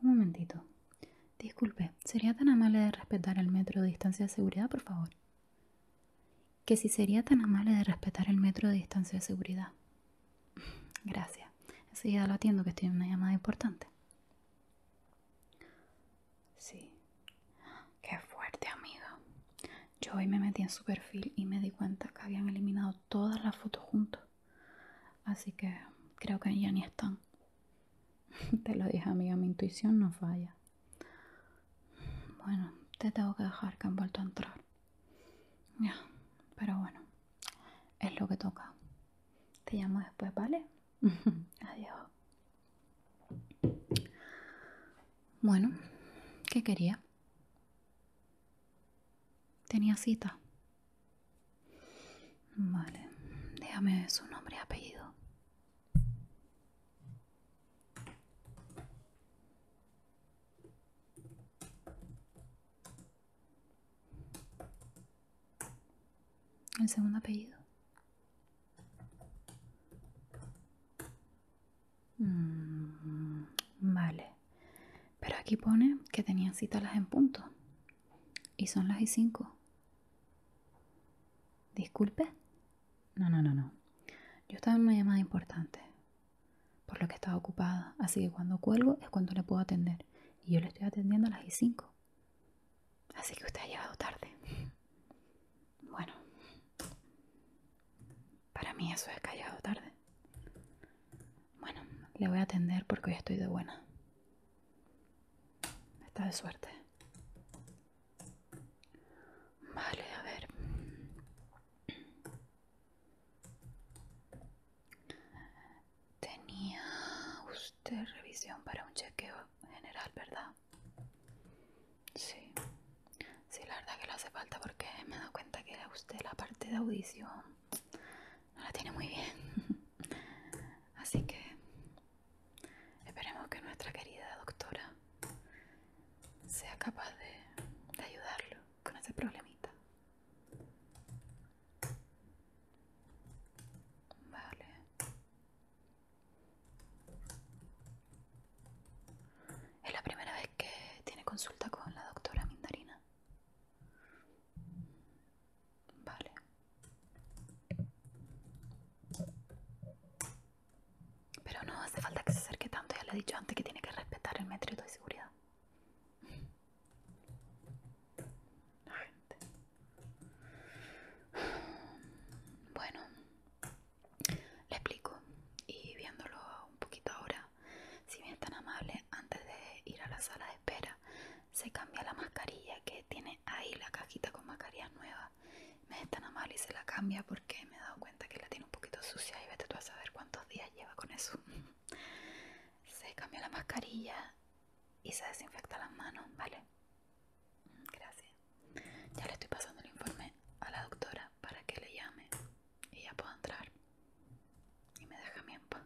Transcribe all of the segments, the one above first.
Un momentito. Disculpe, ¿sería tan amable de respetar el metro de distancia de seguridad, por favor? Que si sería tan amable de respetar el metro de distancia de seguridad. Gracias. Enseguida lo atiendo que estoy en una llamada importante. Sí. Qué fuerte, amiga. Yo hoy me metí en su perfil y me di cuenta que habían eliminado todas las fotos juntos. Así que creo que ya ni están. Te lo dije, amiga, mi intuición no falla. Bueno, te tengo que dejar que han vuelto a entrar. Ya, pero bueno, es lo que toca. Te llamo después, ¿vale? Adiós. Bueno, ¿qué quería? Tenía cita. Vale, déjame su nombre y apellido. El segundo apellido. Mm, vale. Pero aquí pone que tenían cita las en punto. Y son las y 5. Disculpe. No, no, no, no. Yo estaba en una llamada importante. Por lo que estaba ocupada. Así que cuando cuelgo es cuando le puedo atender. Y yo le estoy atendiendo a las y 5. Así que usted ha llegado tarde. Bueno, para mí eso es callado tarde. Bueno, le voy a atender porque hoy estoy de buena. Está de suerte. Vale, a ver. Tenía usted revisión para un chequeo general, ¿verdad? Sí, sí, la verdad que lo hace falta porque me he dado cuenta que a usted la parte de audición no la tiene muy bien. Así que esperemos que nuestra querida doctora sea capaz de, de ayudarlo con ese problemita. Vale. Es la primera vez que tiene consulta con la doctora Mindarina. Vale. Pero no hace falta que se acerque tanto, ya le he dicho antes que tiene que respetar el método de seguridad. La gente. Bueno, le explico y viéndolo un poquito ahora, si bien es tan amable, antes de ir a la sala de espera, se cambia la mascarilla que tiene ahí la cajita con mascarillas nuevas. Me es tan amable y se la cambia porque me he dado cuenta que la tiene un poquito sucia y vete tú a saber cuántos días lleva con eso. se cambia la mascarilla y se desinfecta las manos, ¿vale? Gracias. Ya le estoy pasando el informe a la doctora para que le llame y ya puedo entrar. Y me deja mi paz.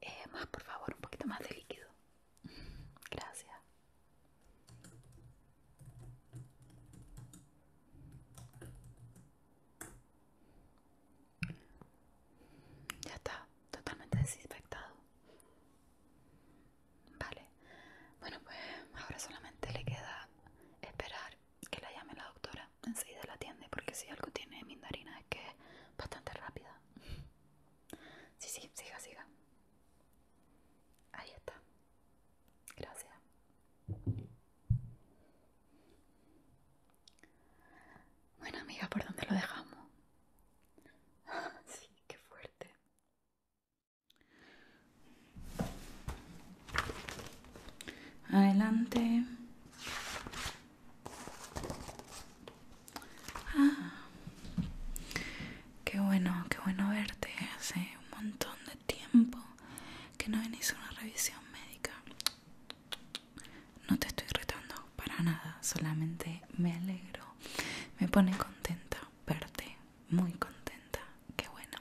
Eh, más, por favor, un poquito más de líquido. Gracias. Ya está totalmente desinfectado. Vale. Bueno, pues ahora solamente le queda esperar que la llame la doctora. Enseguida la atiende porque si algo tiene Mindarina es que es bastante rápida. Sí, sí, siga, siga. Ahí está. Gracias. Bueno, amiga, ¿por dónde lo dejamos? sí, qué fuerte. Adelante. Ah, qué bueno, qué bueno verte. Hace un montón de tiempo que no venís una revisión médica. No te estoy retando para nada, solamente me alegro. Me pone contenta verte, muy contenta. Qué bueno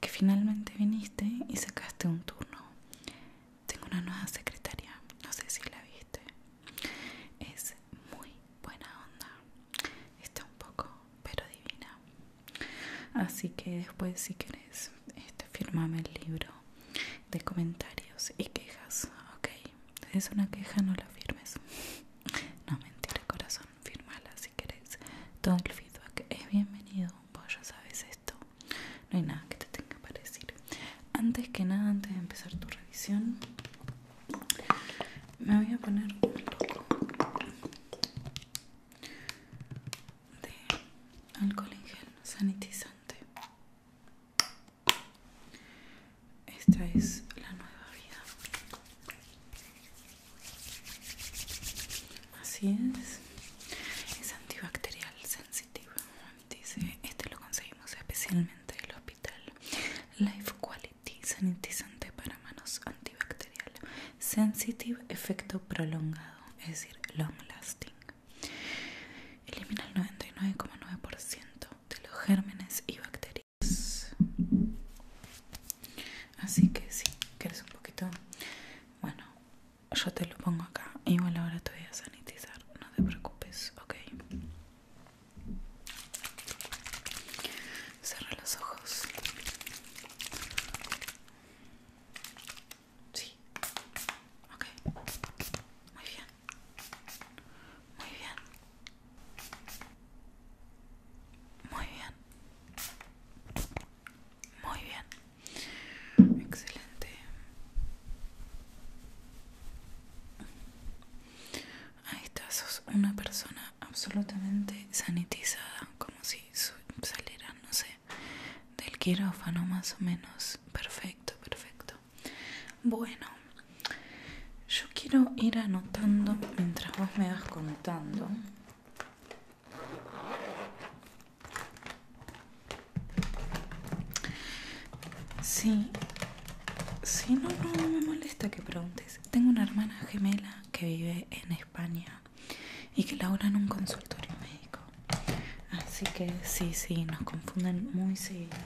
que finalmente viniste y sacaste un turno. Tengo una nueva secretaria, no sé si la viste. Es muy buena onda. Está un poco, pero divina. Así que después si querés este, firmame el libro de comentarios y quejas, ok. Si es una queja, no la firmes. No, mentira, corazón, firmala si querés. Todo el feedback es bienvenido, vos ya sabes esto. No hay nada que te tenga para decir. Antes que nada, antes de empezar tu revisión, me voy a poner un poco de alcohol en gel sanitizante. Esta es la nueva vida. Así es. Es antibacterial sensitive, este lo conseguimos especialmente del hospital. Life Quality sanitizante para manos antibacterial. Sensitive efecto prolongado, es decir, long lasting. Elimina el 99,9% de los gérmenes y bacterias. Así que si quieres un poquito, bueno, yo te lo pongo acá. Igual ahora te voy a sanitizar, no te preocupes, ok. Cierra los ojos. Sí. Ok. Muy bien. Muy bien. Muy bien. Muy bien. Excelente. Ahí está, sos una persona absolutamente sanitizada, como si saliera, no sé, del quirófano más o menos perfecto perfecto bueno yo quiero ir anotando mientras vos me vas contando Sí, sí, no, no me molesta que preguntes. Tengo una hermana gemela que vive en España y que labora en un consultorio médico. Así que sí, sí, nos confunden muy seguido.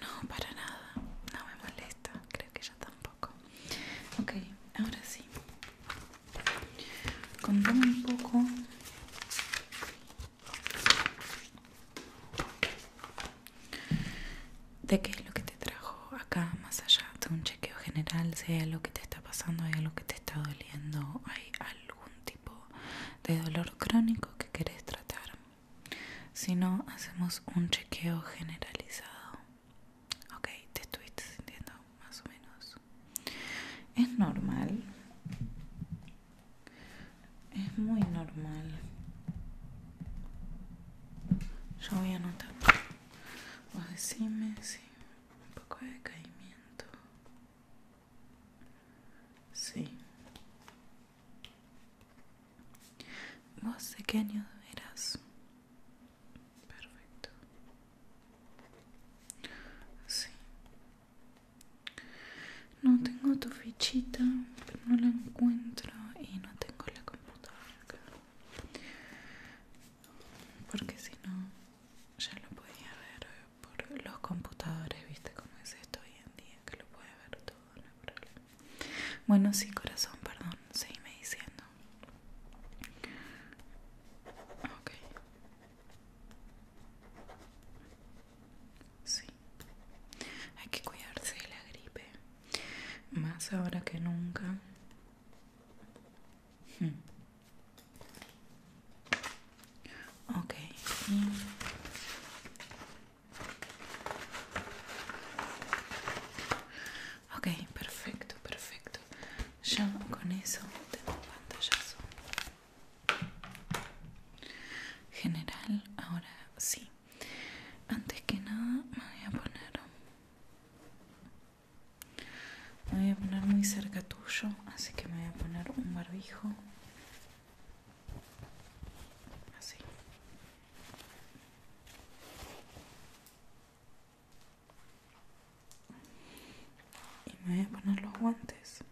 No, para nada, no me molesta, creo que ella tampoco. Ok, ahora sí. Contame un poco. ¿De qué es lo que te trajo? acá más allá de un chequeo general sea lo que te está pasando, hay algo que te está doliendo, hay algún tipo de dolor crónico que querés tratar. Si no, hacemos un chequeo generalizado. Ok, te estuviste sintiendo más o menos. Es normal. Es muy normal. Yo voy a anotar. Vos decime, sí, un poco de decaimiento. Sí. ¿Vos de qué año eras? Perfecto. Sí. No tengo tu fichita, pero no la encuentro y no tengo la computadora porque si no ya lo podía ver por los computadores, viste cómo es esto hoy en día, que lo puede ver todo, no hay problema. Bueno, sí, corazón, perdón, seguime diciendo. Ok. Sí. Hay que cuidarse de la gripe. Más ahora que nunca. Hmm. okay Ok. perfecto, perfecto. Ya con eso tengo pantallazo. General, ahora sí. Antes que nada me voy a poner me voy a poner muy cerca tuyo, así que me voy a poner un barbijo. Así. Y me voy a poner los guantes.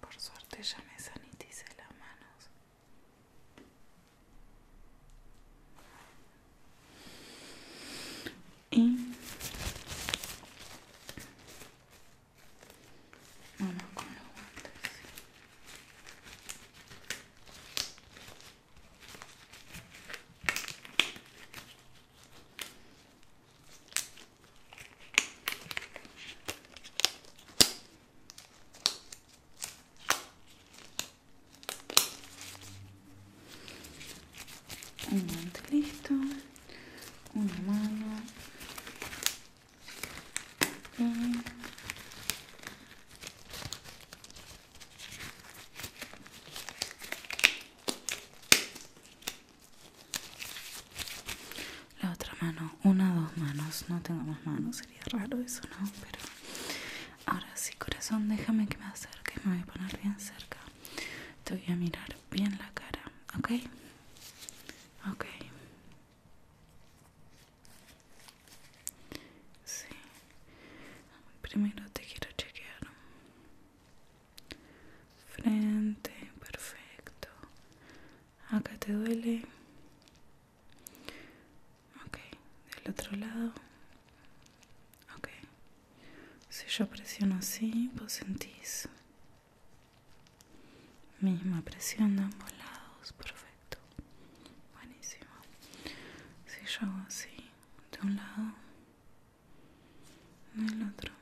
Por suerte ya me sanitice las manos. Y vamos con los guantes un guante listo una mano la otra mano, una, dos manos. No tengo más manos, sería raro eso, ¿no? Pero ahora sí, corazón, déjame que me acerque. Me voy a poner bien cerca. Te voy a mirar bien la cara, ¿ok? Ok. Sí. Primero te quiero chequear. Frente, perfecto acá te duele ok del otro lado ok si yo presiono así vos sentís misma presión de ambos lados perfecto buenísimo si yo hago así de un lado del otro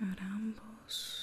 ahora ambos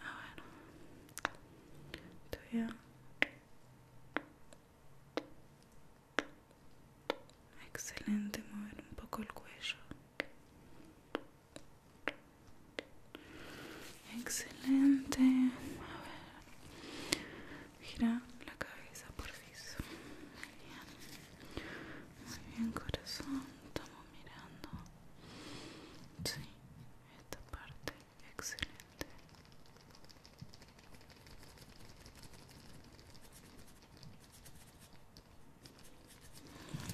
a ver estoy bien? excelente mover un poco el cuello excelente a ver gira la cabeza por piso muy bien, muy bien corazón estamos mirando sí esta parte excelente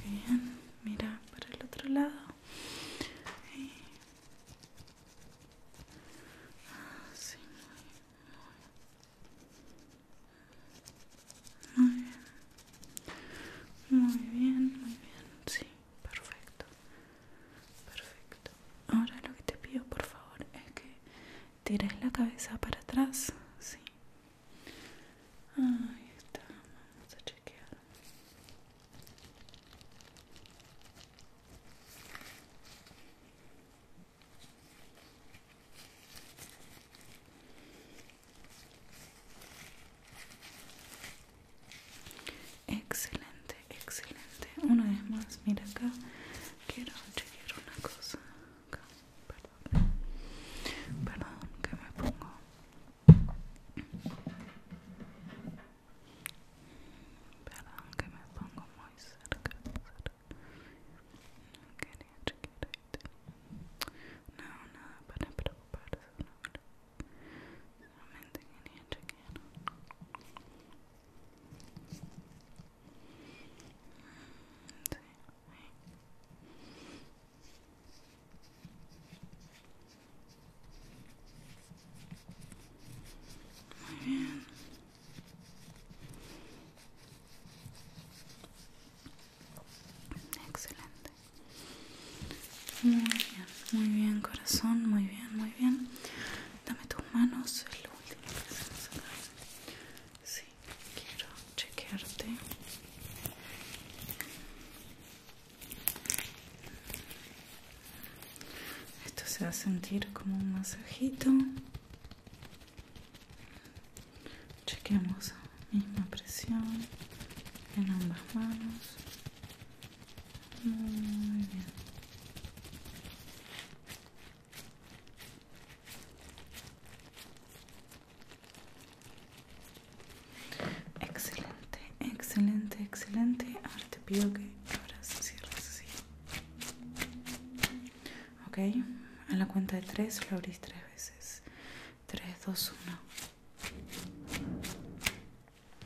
Muy bien mira para el otro lado ah, Muy bien. Muy bien, muy bien, sí, perfecto, perfecto. Ahora lo que te pido por favor es que tires la cabeza para atrás, sí. Ahí está, vamos a chequear. Excelente, excelente. Una vez más, mira acá. Quiero chequear una cosa. Perdón. Perdón, que me pongo. Perdón, que me pongo muy cerca. No quería chequear ahí. No, nada para preocuparse solamente quería chequear mm, muy bien Excelente. Muy bien, muy bien, corazón. Muy bien, muy bien. Dame tus manos. Es lo último que hacemos acá. Sí, quiero chequearte. Esto se va a sentir como un masajito. chequeamos misma presión en ambas manos muy bien excelente excelente excelente ahora te pido que abras cierres así ok a la cuenta de tres lo abrís tres veces 3, 2,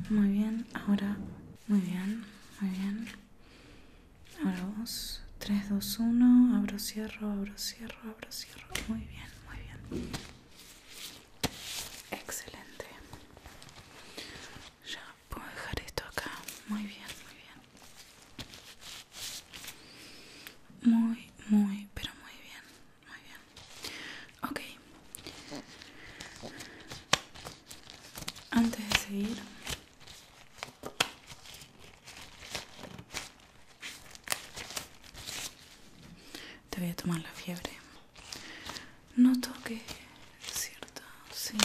1. Muy bien, ahora, muy bien, muy bien. Ahora vos, 3, 2, 1, abro, cierro, abro, cierro, abro, cierro. Muy bien, muy bien. Excelente. Ya puedo dejar esto acá. Muy bien, muy bien. Muy, muy, pero muy bien. Muy bien. Ok. Antes de seguir, te voy a tomar la fiebre. No toques, cierto, sí.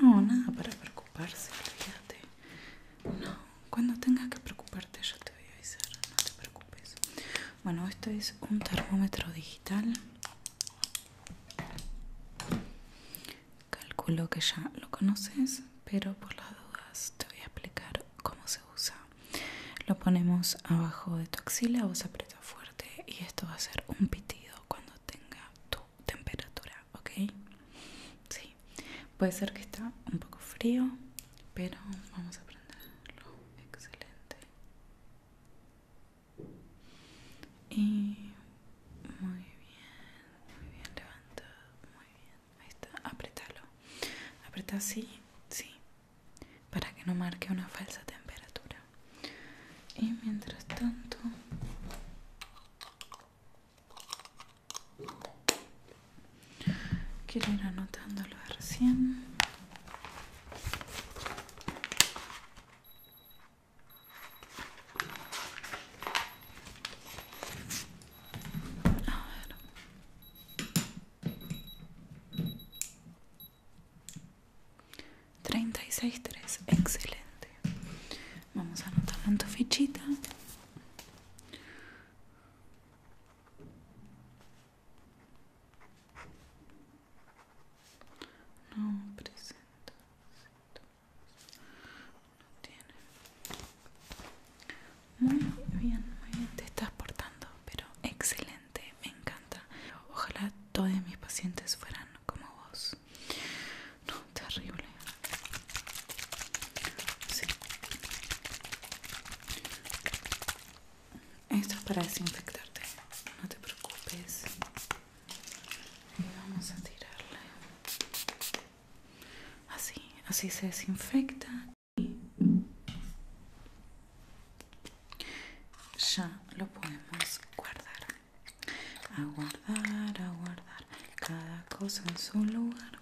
No, nada para preocuparse, fíjate. No, cuando tengas que preocuparte yo te voy a avisar, no te preocupes. Bueno, esto es un termómetro digital. Calculo que ya lo conoces, pero por las dudas te voy a explicar cómo se usa. Lo ponemos abajo de tu axila, vos aprieta fuerte y esto va a ser un pitido cuando tenga tu temperatura, ¿ok? Sí, puede ser que está un poco frío pero vamos a prenderlo excelente y muy bien muy bien levanta muy bien ahí está apretalo apreta así sí para que no marque una falsa temperatura y mientras tanto Quiero ir anotándolo recién. A Treinta y seis tres, excelente. Vamos a anotar en tu fichita. No presenta No tiene Muy bien, muy bien Te estás portando, pero excelente Me encanta Ojalá todos mis pacientes fueran como vos No, terrible Sí esto es para desinfectarte, no te preocupes. Y vamos a tirarle. Así, así se desinfecta. Y ya lo podemos guardar. A guardar, a guardar. Cada cosa en su lugar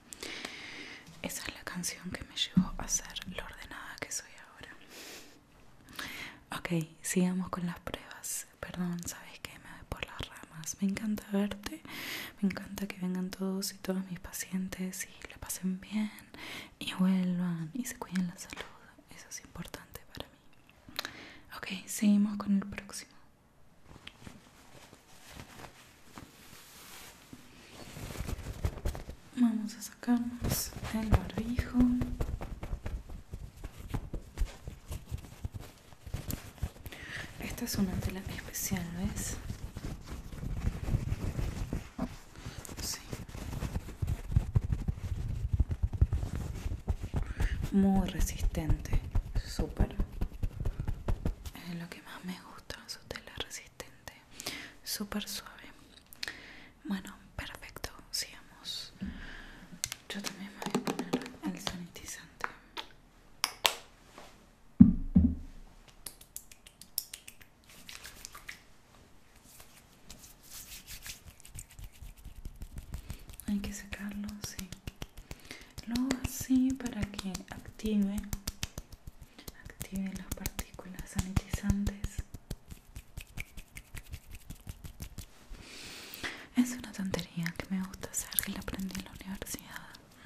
esa es la canción que me llevó a ser lo ordenada que soy ahora ok sigamos con las pruebas perdón sabes que me voy por las ramas me encanta verte me encanta que vengan todos y todas mis pacientes y le pasen bien y vuelvan y se cuiden la salud eso es importante para mí ok seguimos con el próximo Vamos a sacarnos el barbijo. Esta es una tela especial, ¿ves? Sí. Muy resistente, súper. Es lo que más me gusta, su tela resistente súper suave bueno perfecto sigamos yo también voy a poner el sanitizante hay que sacarlo sí. luego así para que active Active las partículas sanitizantes. Es una tontería que me gusta hacer, que la aprendí en la universidad.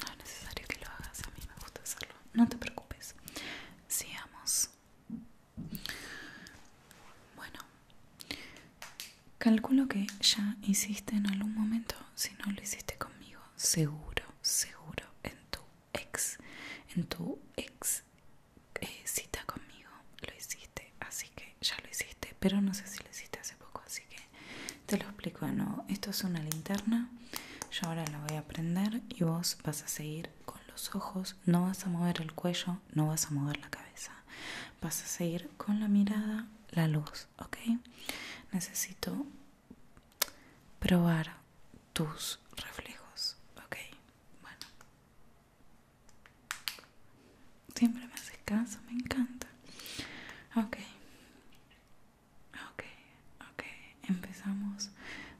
No es necesario que lo hagas, a mí me gusta hacerlo. No te preocupes. Sigamos. Bueno, calculo que ya hiciste en algún momento, si no lo hiciste conmigo, seguro, seguro en tu ex, en tu ex eh, cita conmigo. Lo hiciste, así que ya lo hiciste, pero no sé si lo hiciste hace poco, así que te lo explico de nuevo. Esto es una linterna, yo ahora la voy a prender y vos vas a seguir con los ojos, no vas a mover el cuello, no vas a mover la cabeza, vas a seguir con la mirada la luz, ¿ok? Necesito probar tus reflejos, ok. Bueno, siempre me haces caso, me encanta. Ok, ok, ok. Empezamos,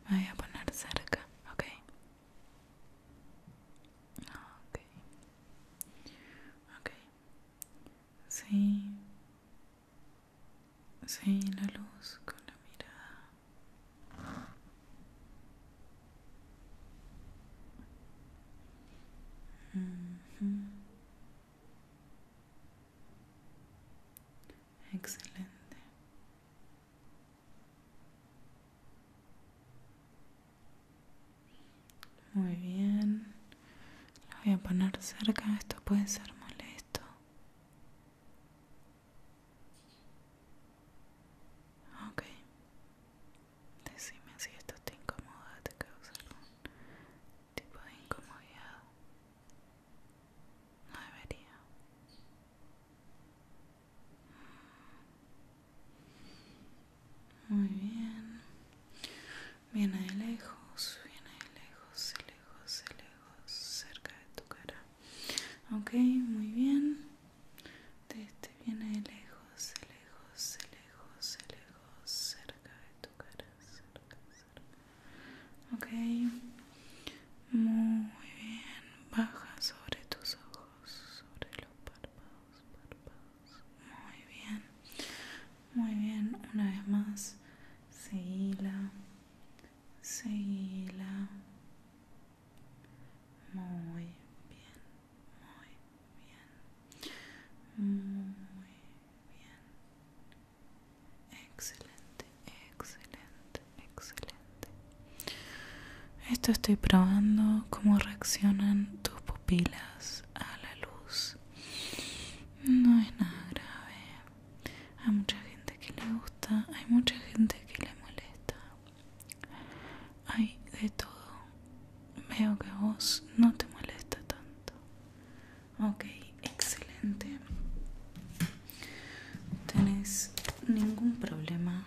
me voy a poner cerca, ok. Ok, ok. Sí. Sí, la luz con la mirada. Excelente. Muy bien. Lo voy a poner cerca, esto puede ser molesto. Ok. Decime si esto te incomoda, te causa algún tipo de incomodidad. No debería. Mm. Muy bien viene de lejos, viene de lejos, de lejos, de lejos, cerca de tu cara. Ok, muy bien. De este viene de lejos, de lejos, de lejos, de lejos, cerca de tu cara, Ok, muy bien. Baja sobre tus ojos, sobre los párpados, párpados. Muy bien. Muy bien, una vez más. Seguíla Seguíla Muy bien, muy bien. Muy bien. Excelente, excelente, excelente. Esto estoy probando cómo reaccionan tus pupilas a la luz. No es nada grave. Hay mucha gente que le gusta, hay mucha gente que le molesta. Hay de todo. Veo que a vos no te molesta tanto. Ok, excelente. ¿Tenés ningún problema?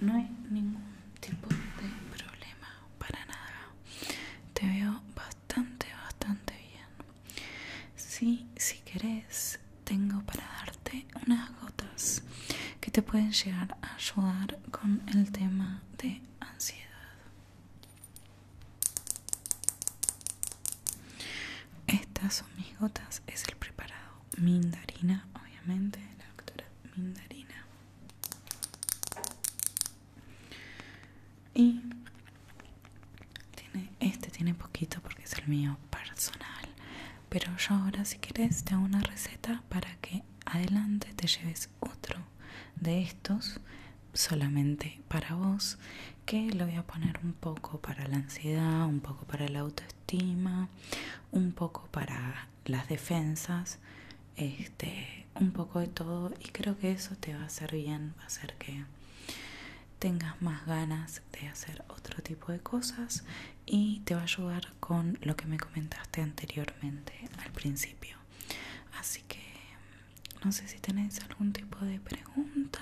No hay ningún tipo de problema para nada. Te veo bastante, bastante bien. Sí, si querés, tengo para darte unas gotas que te pueden llegar a ayudar con el tema de ansiedad. Estas son mis gotas, es el preparado Mindarina, obviamente, la doctora Mindarina. Y este tiene poquito porque es el mío personal. Pero yo ahora si quieres te hago una receta para que adelante te lleves otro de estos solamente para vos que lo voy a poner un poco para la ansiedad, un poco para el autoestima un poco para las defensas, este, un poco de todo y creo que eso te va a hacer bien, va a hacer que tengas más ganas de hacer otro tipo de cosas y te va a ayudar con lo que me comentaste anteriormente al principio. Así que no sé si tenéis algún tipo de pregunta.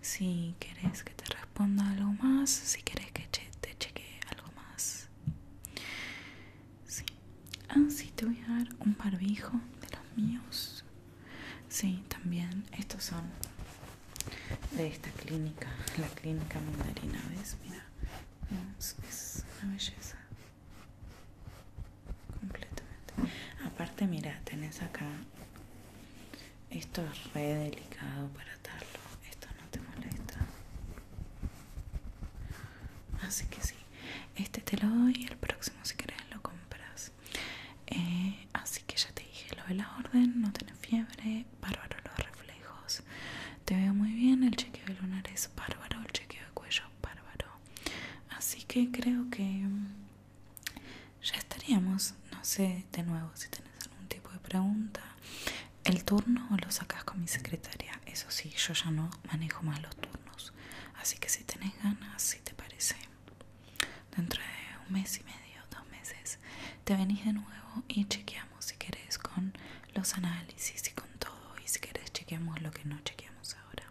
Si querés que te responda algo más, si querés que te cheque algo más. Sí. Ah, te voy a dar un parbijo de los míos. Sí, también. Estos son de esta clínica, la clínica mandarina, ¿ves? Mira, es una belleza. Completamente. Aparte, mira, tenés acá esto es re delicado para atarlo. Esto no te molesta. Así que sí. Este te lo doy y el próximo si querés lo compras. Eh, así que ya te dije lo de la orden. No tenés fiebre. Bárbaro los reflejos. Te veo muy bien. El chequeo de lunares. Bárbaro. El chequeo de cuello. Bárbaro. Así que creo que ya estaríamos, no sé de nuevo si tenés algún tipo de pregunta. El turno lo sacas con mi secretaria, eso sí, yo ya no manejo más los turnos. Así que si tenés ganas, si te parece, dentro de un mes y medio, dos meses, te venís de nuevo y chequeamos si querés con los análisis y con todo. Y si querés, chequeamos lo que no chequeamos ahora.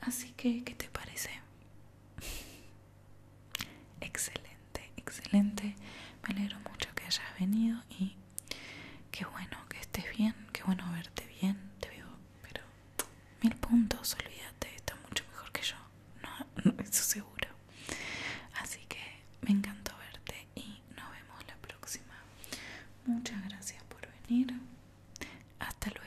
Así que, ¿qué te parece? Excelente, excelente. Me alegro mucho que hayas venido y qué bueno que estés bien, qué bueno verte bien. Te veo, pero mil puntos, olvídate, está mucho mejor que yo. No, no eso seguro. Así que me encantó verte y nos vemos la próxima. Muchas gracias por venir. Hasta luego.